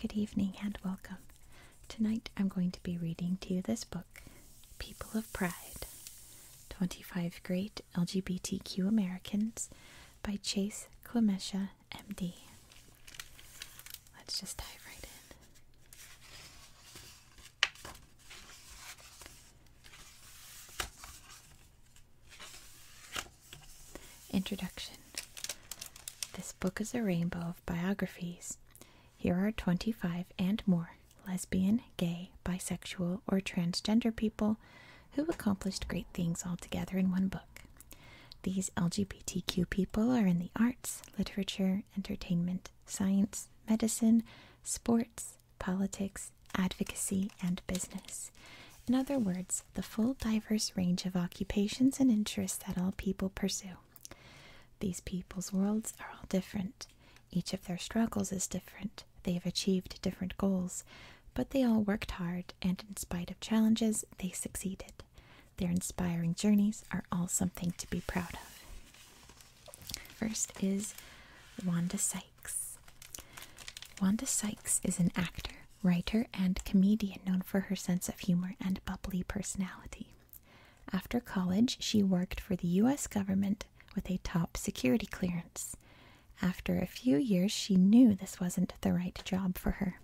Good evening and welcome. Tonight I'm going to be reading to you this book, People of Pride 25 Great LGBTQ Americans by Chase Quimesha, MD. Let's just dive right in. Introduction This book is a rainbow of biographies. Here are 25 and more lesbian, gay, bisexual, or transgender people who accomplished great things all together in one book. These LGBTQ people are in the arts, literature, entertainment, science, medicine, sports, politics, advocacy, and business. In other words, the full diverse range of occupations and interests that all people pursue. These people's worlds are all different. Each of their struggles is different. They have achieved different goals, but they all worked hard, and in spite of challenges, they succeeded. Their inspiring journeys are all something to be proud of. First is Wanda Sykes. Wanda Sykes is an actor, writer, and comedian known for her sense of humor and bubbly personality. After college, she worked for the US government with a top security clearance. After a few years, she knew this wasn't the right job for her.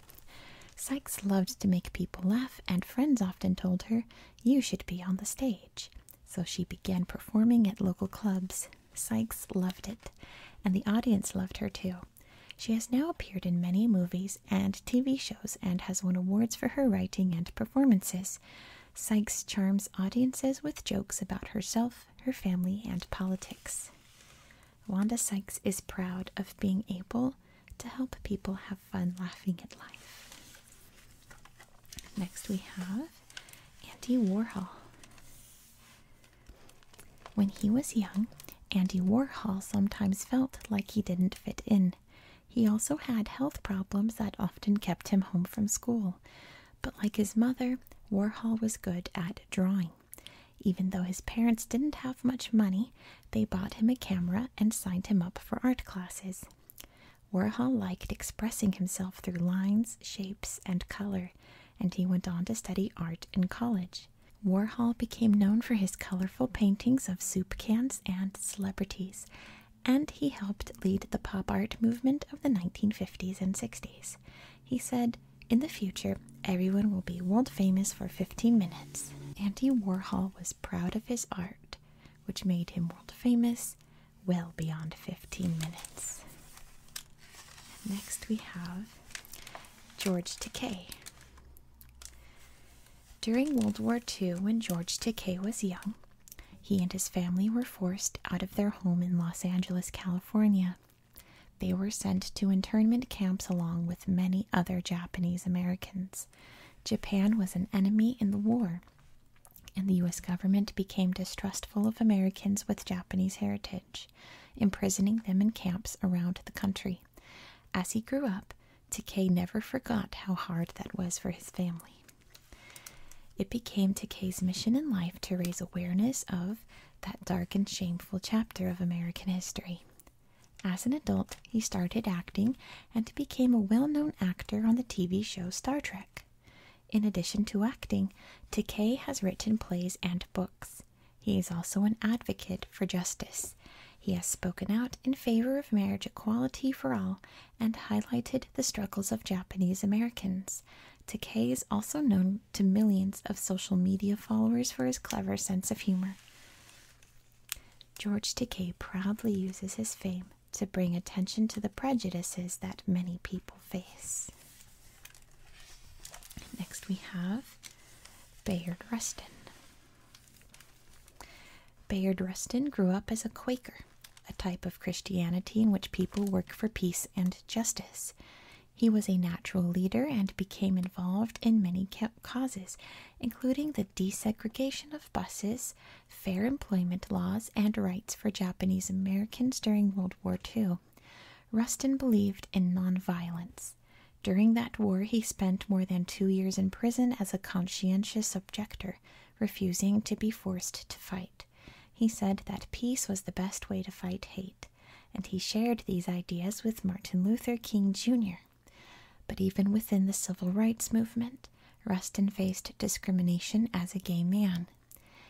Sykes loved to make people laugh, and friends often told her you should be on the stage. So she began performing at local clubs. Sykes loved it, and the audience loved her too. She has now appeared in many movies and TV shows and has won awards for her writing and performances. Sykes charms audiences with jokes about herself, her family, and politics. Wanda Sykes is proud of being able to help people have fun laughing at life. Next, we have Andy Warhol. When he was young, Andy Warhol sometimes felt like he didn't fit in. He also had health problems that often kept him home from school. But like his mother, Warhol was good at drawing. Even though his parents didn't have much money, they bought him a camera and signed him up for art classes. Warhol liked expressing himself through lines, shapes, and color, and he went on to study art in college. Warhol became known for his colorful paintings of soup cans and celebrities, and he helped lead the pop art movement of the 1950s and 60s. He said, In the future, everyone will be world famous for 15 minutes. Andy Warhol was proud of his art, which made him world famous well beyond 15 minutes. Next, we have George Takei. During World War II, when George Takei was young, he and his family were forced out of their home in Los Angeles, California. They were sent to internment camps along with many other Japanese Americans. Japan was an enemy in the war, and the U.S. government became distrustful of Americans with Japanese heritage, imprisoning them in camps around the country. As he grew up, Takei never forgot how hard that was for his family. It became Takei's mission in life to raise awareness of that dark and shameful chapter of American history. As an adult, he started acting and became a well known actor on the TV show Star Trek. In addition to acting, Takei has written plays and books. He is also an advocate for justice. He has spoken out in favor of marriage equality for all and highlighted the struggles of Japanese Americans. Takei is also known to millions of social media followers for his clever sense of humor. George Takei proudly uses his fame to bring attention to the prejudices that many people face. Next, we have Bayard Rustin. Bayard Rustin grew up as a Quaker, a type of Christianity in which people work for peace and justice. He was a natural leader and became involved in many causes, including the desegregation of buses, fair employment laws, and rights for Japanese Americans during World War II. Rustin believed in nonviolence. During that war, he spent more than two years in prison as a conscientious objector, refusing to be forced to fight. He said that peace was the best way to fight hate, and he shared these ideas with Martin Luther King Jr. But even within the civil rights movement, Rustin faced discrimination as a gay man.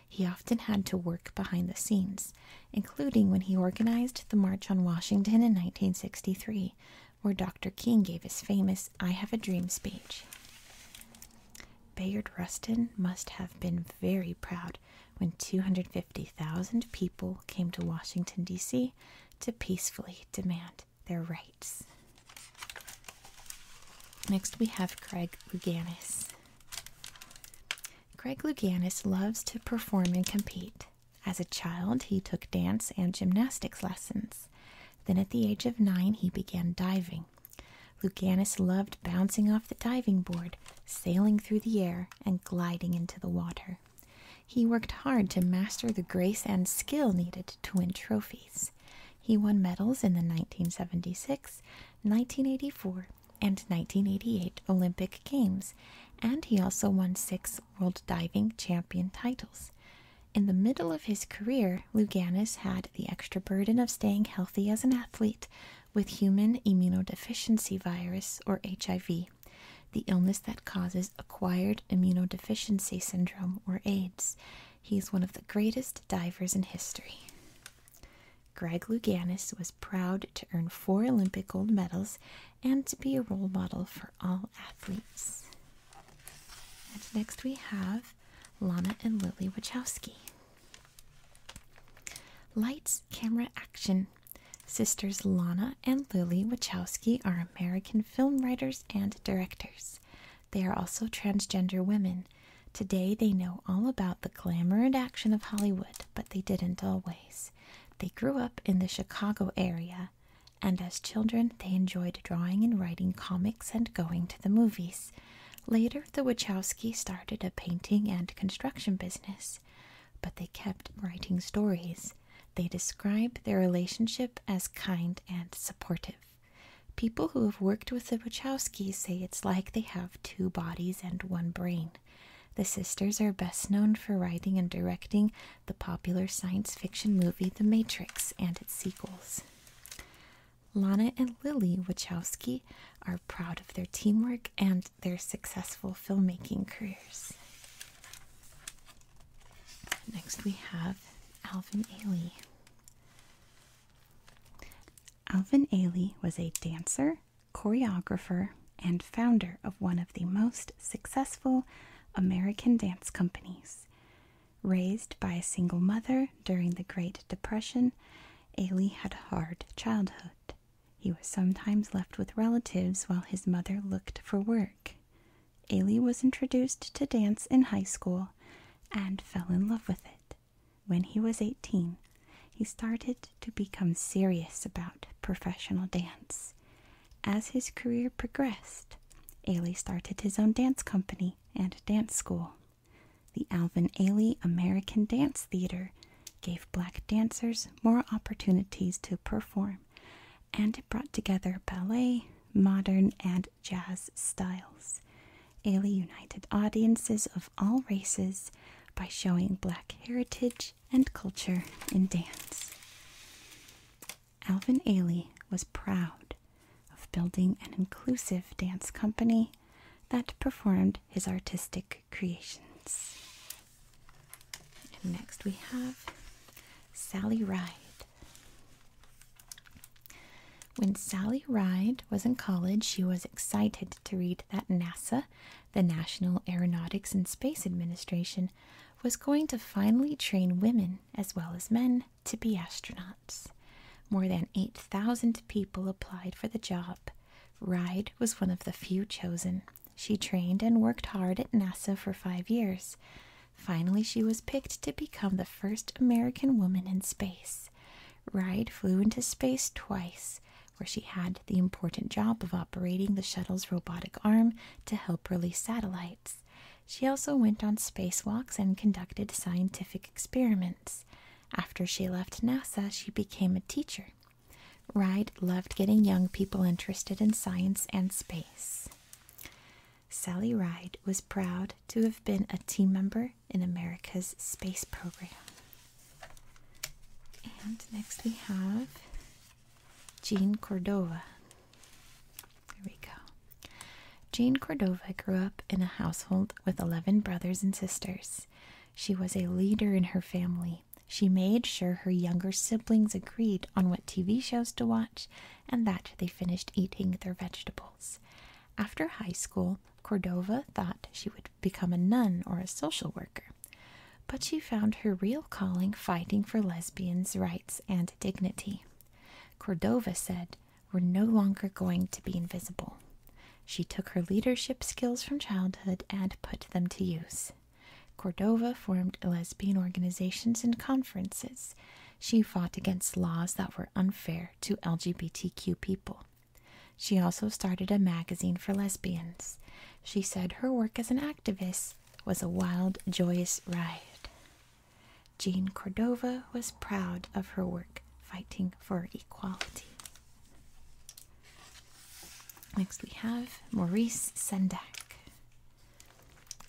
He often had to work behind the scenes, including when he organized the March on Washington in 1963, where Dr. King gave his famous I Have a Dream speech. Bayard Rustin must have been very proud when 250,000 people came to Washington, D.C. to peacefully demand their rights. Next, we have Craig Luganis. Craig Luganis loves to perform and compete. As a child, he took dance and gymnastics lessons. Then, at the age of nine, he began diving. Luganis loved bouncing off the diving board, sailing through the air, and gliding into the water. He worked hard to master the grace and skill needed to win trophies. He won medals in the 1976, 1984, and 1988 Olympic Games, and he also won six World Diving Champion titles. In the middle of his career, Luganis had the extra burden of staying healthy as an athlete with human immunodeficiency virus, or HIV, the illness that causes acquired immunodeficiency syndrome or AIDS. He is one of the greatest divers in history. Greg Louganis was proud to earn four Olympic gold medals and to be a role model for all athletes. And next we have Lana and Lily Wachowski. Lights, camera, action. Sisters Lana and Lily Wachowski are American film writers and directors. They are also transgender women. Today they know all about the glamour and action of Hollywood, but they didn't always. They grew up in the Chicago area, and as children they enjoyed drawing and writing comics and going to the movies. Later, the Wachowski started a painting and construction business, but they kept writing stories. They describe their relationship as kind and supportive. People who have worked with the Wachowskis say it's like they have two bodies and one brain. The sisters are best known for writing and directing the popular science fiction movie The Matrix and its sequels. Lana and Lily Wachowski are proud of their teamwork and their successful filmmaking careers. Next, we have Alvin Ailey. Alvin Ailey was a dancer, choreographer, and founder of one of the most successful American dance companies. Raised by a single mother during the Great Depression, Ailey had a hard childhood. He was sometimes left with relatives while his mother looked for work. Ailey was introduced to dance in high school and fell in love with it. When he was 18, he started to become serious about professional dance. As his career progressed, Ailey started his own dance company and dance school. The Alvin Ailey American Dance Theater gave black dancers more opportunities to perform and it brought together ballet, modern, and jazz styles. Ailey united audiences of all races by showing black heritage and culture in dance. Alvin Ailey was proud of building an inclusive dance company that performed his artistic creations. And next we have Sally Ride. When Sally Ride was in college, she was excited to read that NASA, the National Aeronautics and Space Administration, was going to finally train women as well as men to be astronauts. More than 8,000 people applied for the job. Ride was one of the few chosen, she trained and worked hard at NASA for five years. Finally, she was picked to become the first American woman in space. Ride flew into space twice, where she had the important job of operating the shuttle's robotic arm to help release satellites. She also went on spacewalks and conducted scientific experiments. After she left NASA, she became a teacher. Ride loved getting young people interested in science and space. Sally Ride was proud to have been a team member in America's space program. And next we have Jean Cordova. Here we go. Jean Cordova grew up in a household with 11 brothers and sisters. She was a leader in her family she made sure her younger siblings agreed on what TV shows to watch and that they finished eating their vegetables. After high school, Cordova thought she would become a nun or a social worker, but she found her real calling fighting for lesbians' rights and dignity. Cordova said, We're no longer going to be invisible. She took her leadership skills from childhood and put them to use. Cordova formed lesbian organizations and conferences. She fought against laws that were unfair to LGBTQ people. She also started a magazine for lesbians. She said her work as an activist was a wild, joyous ride. Jean Cordova was proud of her work fighting for equality. Next, we have Maurice Sendak.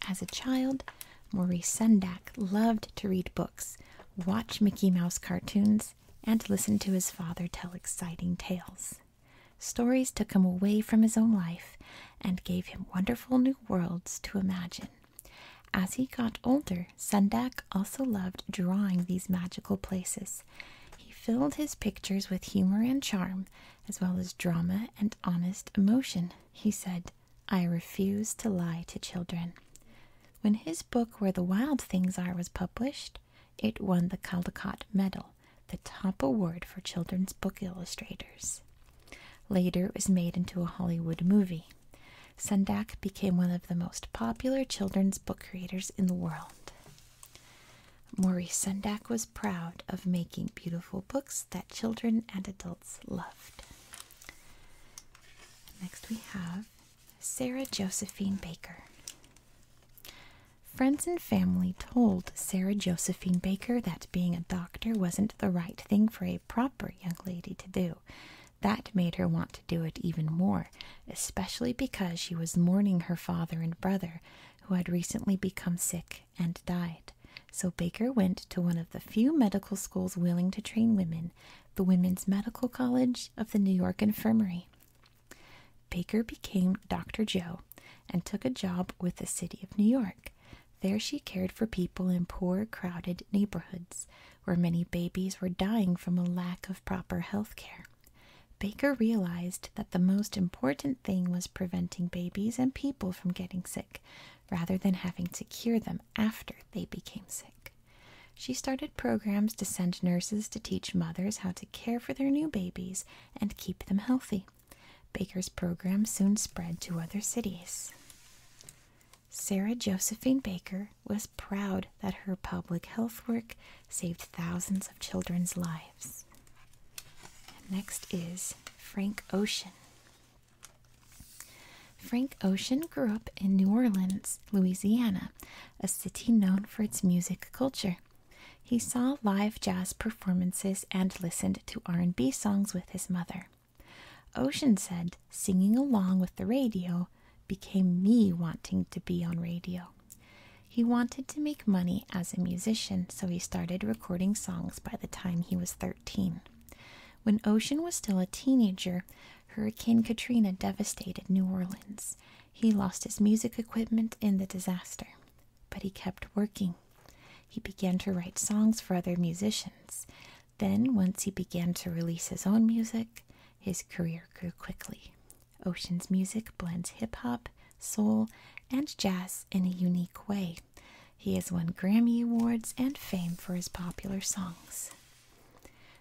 As a child, Maurice Sendak loved to read books, watch Mickey Mouse cartoons, and listen to his father tell exciting tales. Stories took him away from his own life and gave him wonderful new worlds to imagine. As he got older, Sendak also loved drawing these magical places. He filled his pictures with humor and charm as well as drama and honest emotion. He said, I refuse to lie to children. When his book Where the Wild Things Are was published, it won the Caldecott Medal, the top award for children's book illustrators. Later, it was made into a Hollywood movie. Sendak became one of the most popular children's book creators in the world. Maurice Sendak was proud of making beautiful books that children and adults loved. Next, we have Sarah Josephine Baker. Friends and family told Sarah Josephine Baker that being a doctor wasn't the right thing for a proper young lady to do. That made her want to do it even more, especially because she was mourning her father and brother, who had recently become sick and died. So Baker went to one of the few medical schools willing to train women, the Women's Medical College of the New York Infirmary. Baker became Dr. Joe and took a job with the city of New York. There she cared for people in poor, crowded neighborhoods where many babies were dying from a lack of proper health care. Baker realized that the most important thing was preventing babies and people from getting sick rather than having to cure them after they became sick. She started programs to send nurses to teach mothers how to care for their new babies and keep them healthy. Baker's program soon spread to other cities. Sarah Josephine Baker was proud that her public health work saved thousands of children's lives next is Frank Ocean. Frank Ocean grew up in New Orleans, Louisiana, a city known for its music culture. He saw live jazz performances and listened to R&B songs with his mother. Ocean said singing along with the radio became me wanting to be on radio. He wanted to make money as a musician, so he started recording songs by the time he was 13. When Ocean was still a teenager, Hurricane Katrina devastated New Orleans. He lost his music equipment in the disaster, but he kept working. He began to write songs for other musicians. Then, once he began to release his own music, his career grew quickly. Ocean's music blends hip hop, soul, and jazz in a unique way. He has won Grammy Awards and fame for his popular songs.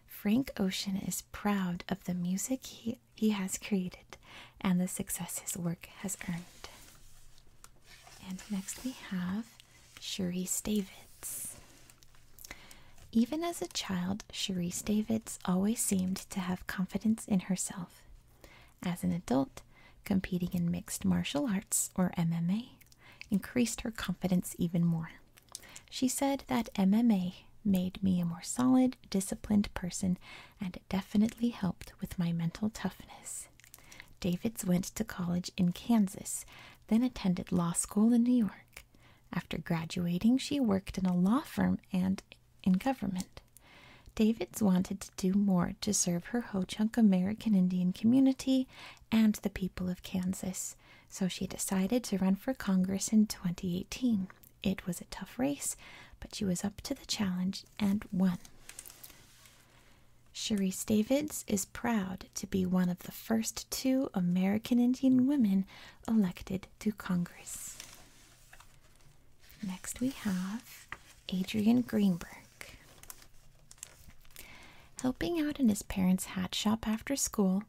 Frank Ocean is proud of the music he, he has created and the success his work has earned. And next we have Cherise Davids. Even as a child, Cherise Davids always seemed to have confidence in herself. As an adult, competing in mixed martial arts, or MMA, increased her confidence even more. She said that MMA made me a more solid, disciplined person and it definitely helped with my mental toughness. Davids went to college in Kansas, then attended law school in New York. After graduating, she worked in a law firm and in government. Davids wanted to do more to serve her Ho Chunk American Indian community and the people of Kansas, so she decided to run for Congress in 2018. It was a tough race, but she was up to the challenge and won. Cherise Davids is proud to be one of the first two American Indian women elected to Congress. Next, we have Adrian Greenberg. Helping out in his parents' hat shop after school,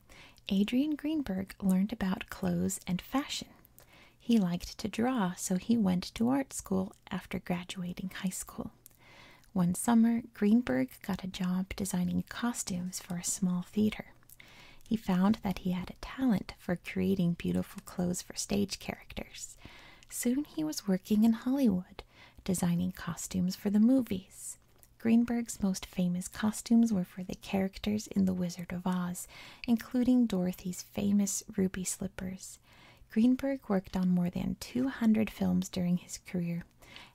Adrian Greenberg learned about clothes and fashion. He liked to draw, so he went to art school after graduating high school. One summer, Greenberg got a job designing costumes for a small theater. He found that he had a talent for creating beautiful clothes for stage characters. Soon he was working in Hollywood, designing costumes for the movies. Greenberg's most famous costumes were for the characters in The Wizard of Oz, including Dorothy's famous ruby slippers. Greenberg worked on more than 200 films during his career,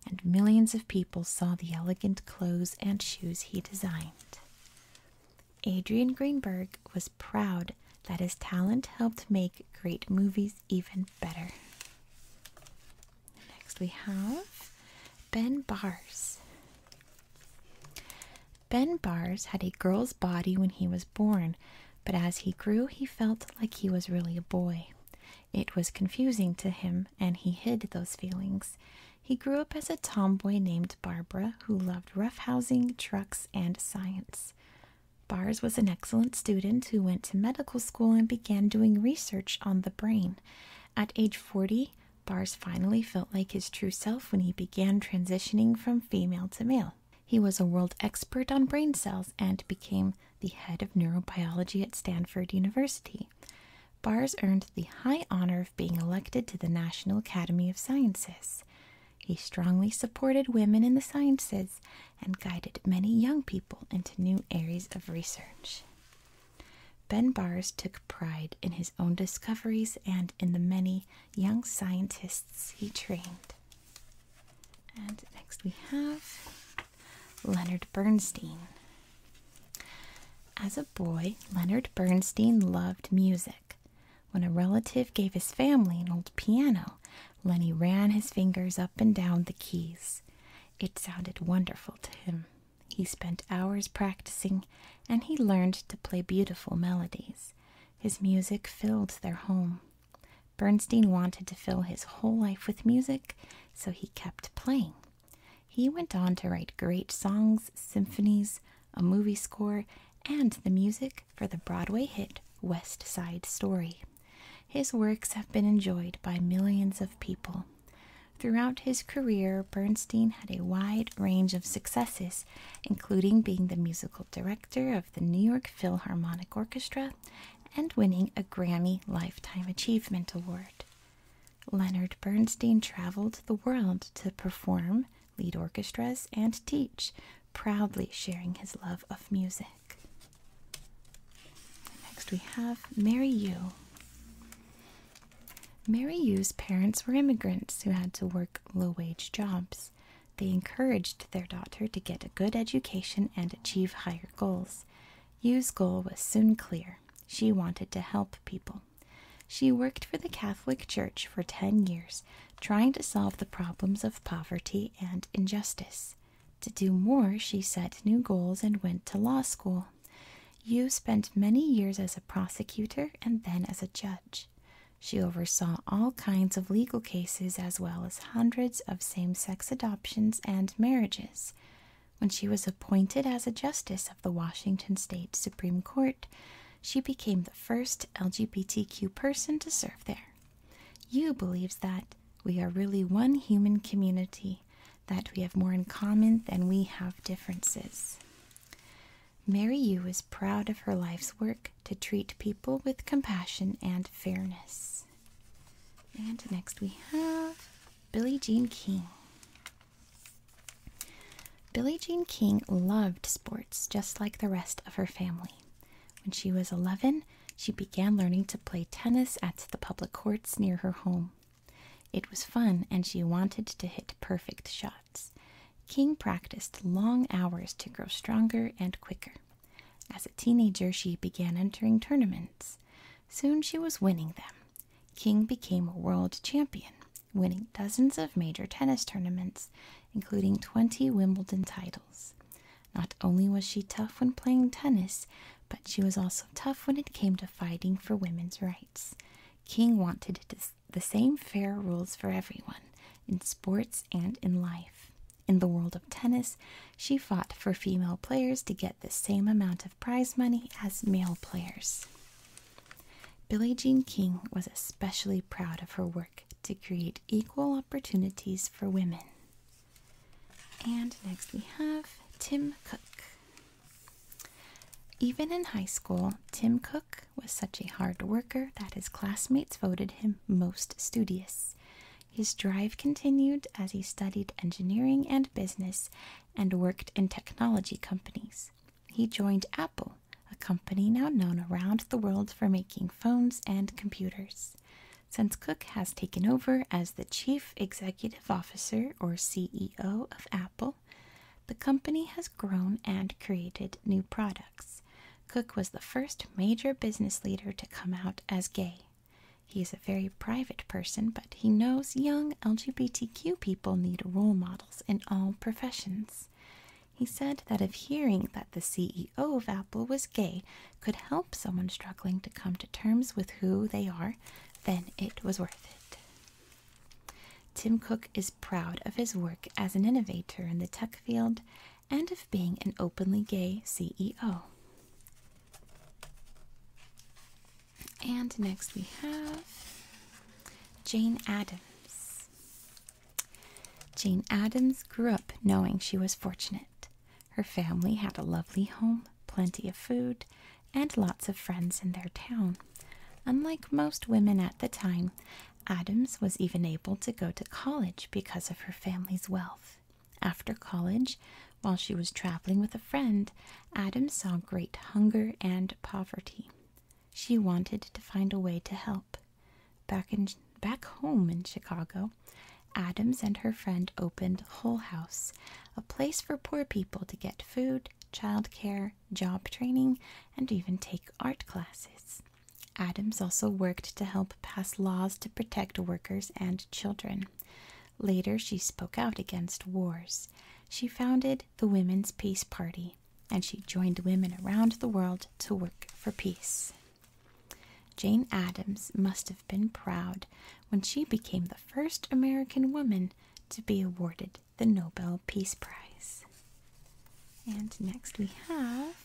and millions of people saw the elegant clothes and shoes he designed. Adrian Greenberg was proud that his talent helped make great movies even better. Next, we have Ben Bars. Ben Bars had a girl's body when he was born, but as he grew, he felt like he was really a boy. It was confusing to him, and he hid those feelings. He grew up as a tomboy named Barbara who loved roughhousing, trucks, and science. Bars was an excellent student who went to medical school and began doing research on the brain. At age 40, Bars finally felt like his true self when he began transitioning from female to male. He was a world expert on brain cells and became the head of neurobiology at Stanford University. Bars earned the high honor of being elected to the National Academy of Sciences. He strongly supported women in the sciences and guided many young people into new areas of research. Ben Bars took pride in his own discoveries and in the many young scientists he trained. And next we have Leonard Bernstein. As a boy, Leonard Bernstein loved music. When a relative gave his family an old piano, Lenny ran his fingers up and down the keys. It sounded wonderful to him. He spent hours practicing and he learned to play beautiful melodies. His music filled their home. Bernstein wanted to fill his whole life with music, so he kept playing. He went on to write great songs, symphonies, a movie score, and the music for the Broadway hit West Side Story. His works have been enjoyed by millions of people. Throughout his career, Bernstein had a wide range of successes, including being the musical director of the New York Philharmonic Orchestra and winning a Grammy Lifetime Achievement Award. Leonard Bernstein traveled the world to perform, lead orchestras, and teach, proudly sharing his love of music. Next, we have Mary Yu. Mary Yu's parents were immigrants who had to work low wage jobs. They encouraged their daughter to get a good education and achieve higher goals. Yu's goal was soon clear. She wanted to help people. She worked for the Catholic Church for 10 years, trying to solve the problems of poverty and injustice. To do more, she set new goals and went to law school. You spent many years as a prosecutor and then as a judge. She oversaw all kinds of legal cases as well as hundreds of same sex adoptions and marriages. When she was appointed as a justice the Washington State Supreme Court, she became the first LGBTQ person to serve there. Yu believes that we are really one human community, that we have more in common than we have differences. Mary Yu is proud of her life's work to treat people with compassion and fairness. And next we have Billie Jean King. Billie Jean King loved sports just like the rest of her family. When she was 11, she began learning to play tennis at the public courts near her home. It was fun and she wanted to hit perfect shots. King practiced long hours to grow stronger and quicker. As a teenager, she began entering tournaments. Soon she was winning them. King became a world champion, winning dozens of major tennis tournaments, including 20 Wimbledon titles. Not only was she tough when playing tennis, but she was also tough when it came to fighting for women's rights. King wanted the same fair rules for everyone in sports and in life. In the world of tennis, she fought for female players to get the same amount of prize money as male players. Billie Jean King was especially proud of her work to create equal opportunities for women. And next we have Tim Cook. Even in high school, Tim Cook was such a hard worker that his classmates voted him most studious. His drive continued as he studied engineering and business and worked in technology companies he joined Apple, a company now known around the world for making phones and computers. Since Cook has taken over as the Chief Executive Officer or CEO of Apple, the company has grown and created new products. Cook was the first major business leader to come out as gay. He is a very private person, but he knows young LGBTQ people need a role model in all professions. He said that if hearing that the CEO of Apple was gay could help someone struggling to come to terms with who they are, then it was worth it. Tim Cook is proud of his work as an innovator in the tech field and of being an openly gay CEO. And next we have Jane Addams. Jane Addams grew up knowing she was fortunate. Her family had a lovely home, plenty of food, and lots of friends in their town. Unlike most women at the time, Adams was even able to go to college because of her family's wealth. After college, while she was traveling with a friend, Adams saw great hunger and poverty. She wanted to find a way to help. Back in back home in Chicago, Adams and her friend opened Hull House, a place for poor people to get food, child care, job training, and even take art classes. Adams also worked to help pass laws to protect workers and children. Later, she spoke out against wars. She founded the Women's Peace Party, and she joined women around the world to work for peace. Jane Addams must have been proud when she became the first American woman to be awarded the Nobel Peace Prize. And next we have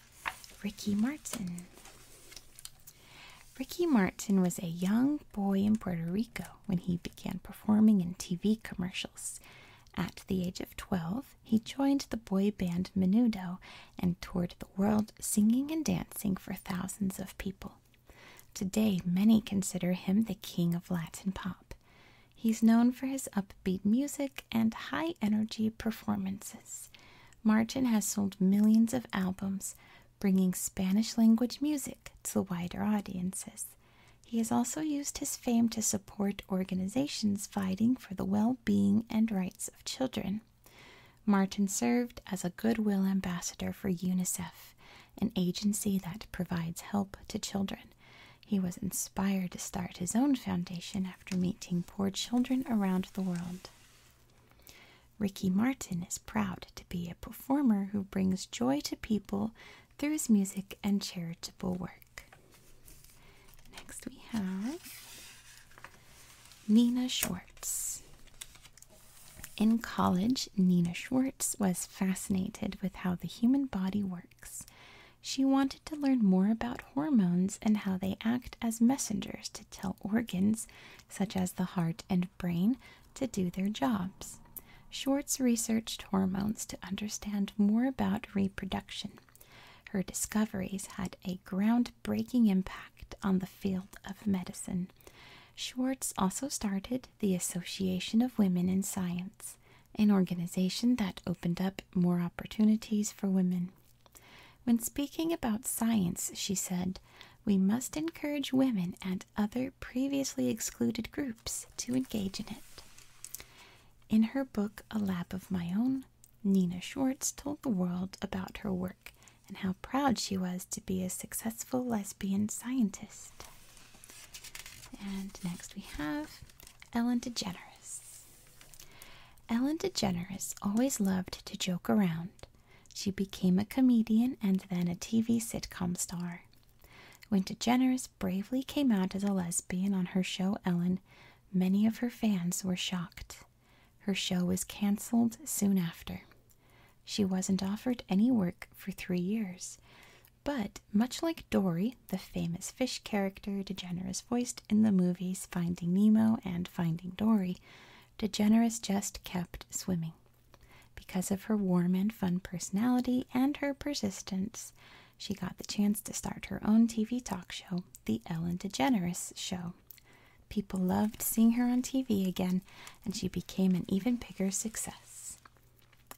Ricky Martin. Ricky Martin was a young boy in Puerto Rico when he began performing in TV commercials. At the age of 12, he joined the boy band Menudo and toured the world singing and dancing for thousands of people. Today, many consider him the king of Latin pop. He's known for his upbeat music and high energy performances. Martin has sold millions of albums, bringing Spanish language music. To the wider audiences. He has also used his fame to support organizations fighting for the well being and rights of children. Martin served as a goodwill ambassador for UNICEF, an agency that provides help to children. He was inspired to start his own foundation after meeting poor children around the world. Ricky Martin is proud to be a performer who brings joy to people through his music and charitable work. Next, we have Nina Schwartz. In college, Nina Schwartz was fascinated with how the human body works. She wanted to learn more about hormones and how they act as messengers to tell organs, such as the heart and brain, to do their jobs. Schwartz researched hormones to understand more about reproduction. Her discoveries had a groundbreaking impact on the field of medicine. Schwartz also started the Association of Women in Science, an organization that opened up more opportunities for women. When speaking about science, she said, we must encourage women and." other previously excluded groups to engage in it. In her book A Lab of My Own, Nina Schwartz told the world about her work and how proud she was to be a successful lesbian scientist. And next we have Ellen DeGeneres. Ellen DeGeneres always loved to joke around. She became a comedian and then a TV sitcom star. When DeGeneres bravely came out as a lesbian on her show Ellen, many of her fans were shocked. Her show was canceled soon after. She wasn't offered any work for three years. But much like Dory, the famous fish character DeGeneres voiced in the movies Finding Nemo and Finding Dory, DeGeneres just kept swimming. Because of her warm and fun personality and her persistence, she got the chance to start her own TV talk show, The Ellen DeGeneres Show. People loved seeing her on TV again, and she became an even bigger success.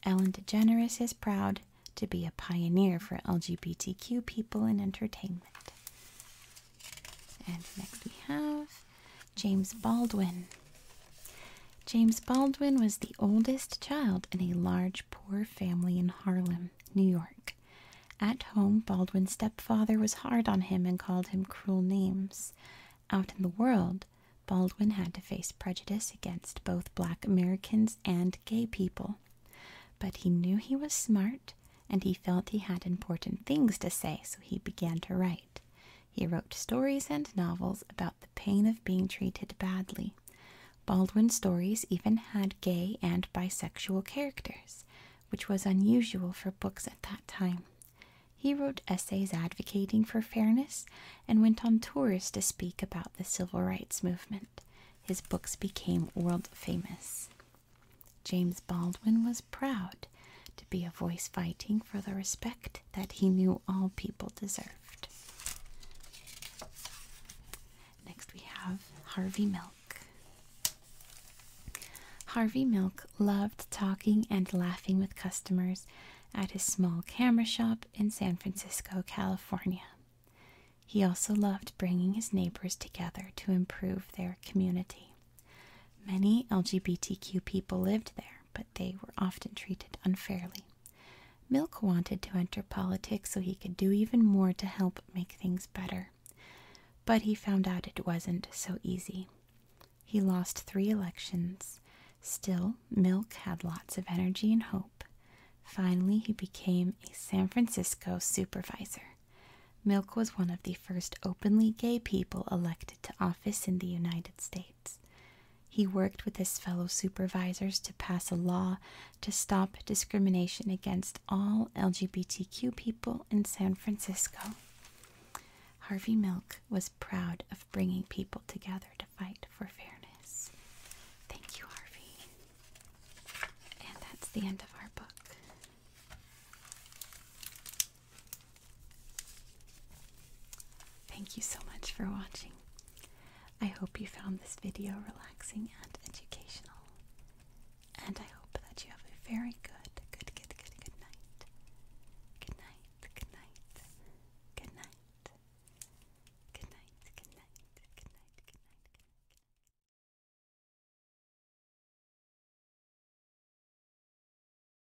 Ellen DeGeneres is proud to be a pioneer for LGBTQ people in entertainment. And next we have James Baldwin. James Baldwin was the oldest child in a large poor family in Harlem, New York. At home, Baldwin's stepfather was hard on him and called him cruel names. Out in the world, Baldwin had to face prejudice against both black Americans and gay people. But he knew he was smart and he felt he had important things to say, so he began to write. He wrote stories and novels about the pain of being treated badly. Baldwin's stories even had gay and bisexual characters, which was unusual for books at that time. He wrote essays advocating for fairness and went on tours to speak about the civil rights movement. His books became world famous. James Baldwin was proud to be a voice fighting for the respect that he knew all people deserved. Next, we have Harvey Milk. Harvey Milk loved talking and laughing with customers at his small camera shop in San Francisco, California. He also loved bringing his neighbors together to improve their community. Many LGBTQ people lived there, but they were often treated unfairly. Milk wanted to enter politics so he could do even more to help make things better. But he found out it wasn't so easy. He lost three elections. Still, Milk had lots of energy and hope. Finally, he became a San Francisco supervisor. Milk was one of the first openly gay people elected to office in the United States. He worked with his fellow supervisors to pass a law to stop discrimination against all LGBTQ people in San Francisco. Harvey Milk was proud of bringing people together to fight for fairness. Thank you, Harvey. And that's the end of our book. Thank you so much for watching. I hope you found this video relaxing and educational. And I hope that you have a very good, good, good, good, good night. Good night, good night, good night. Good night, good night, good night, good night, good night.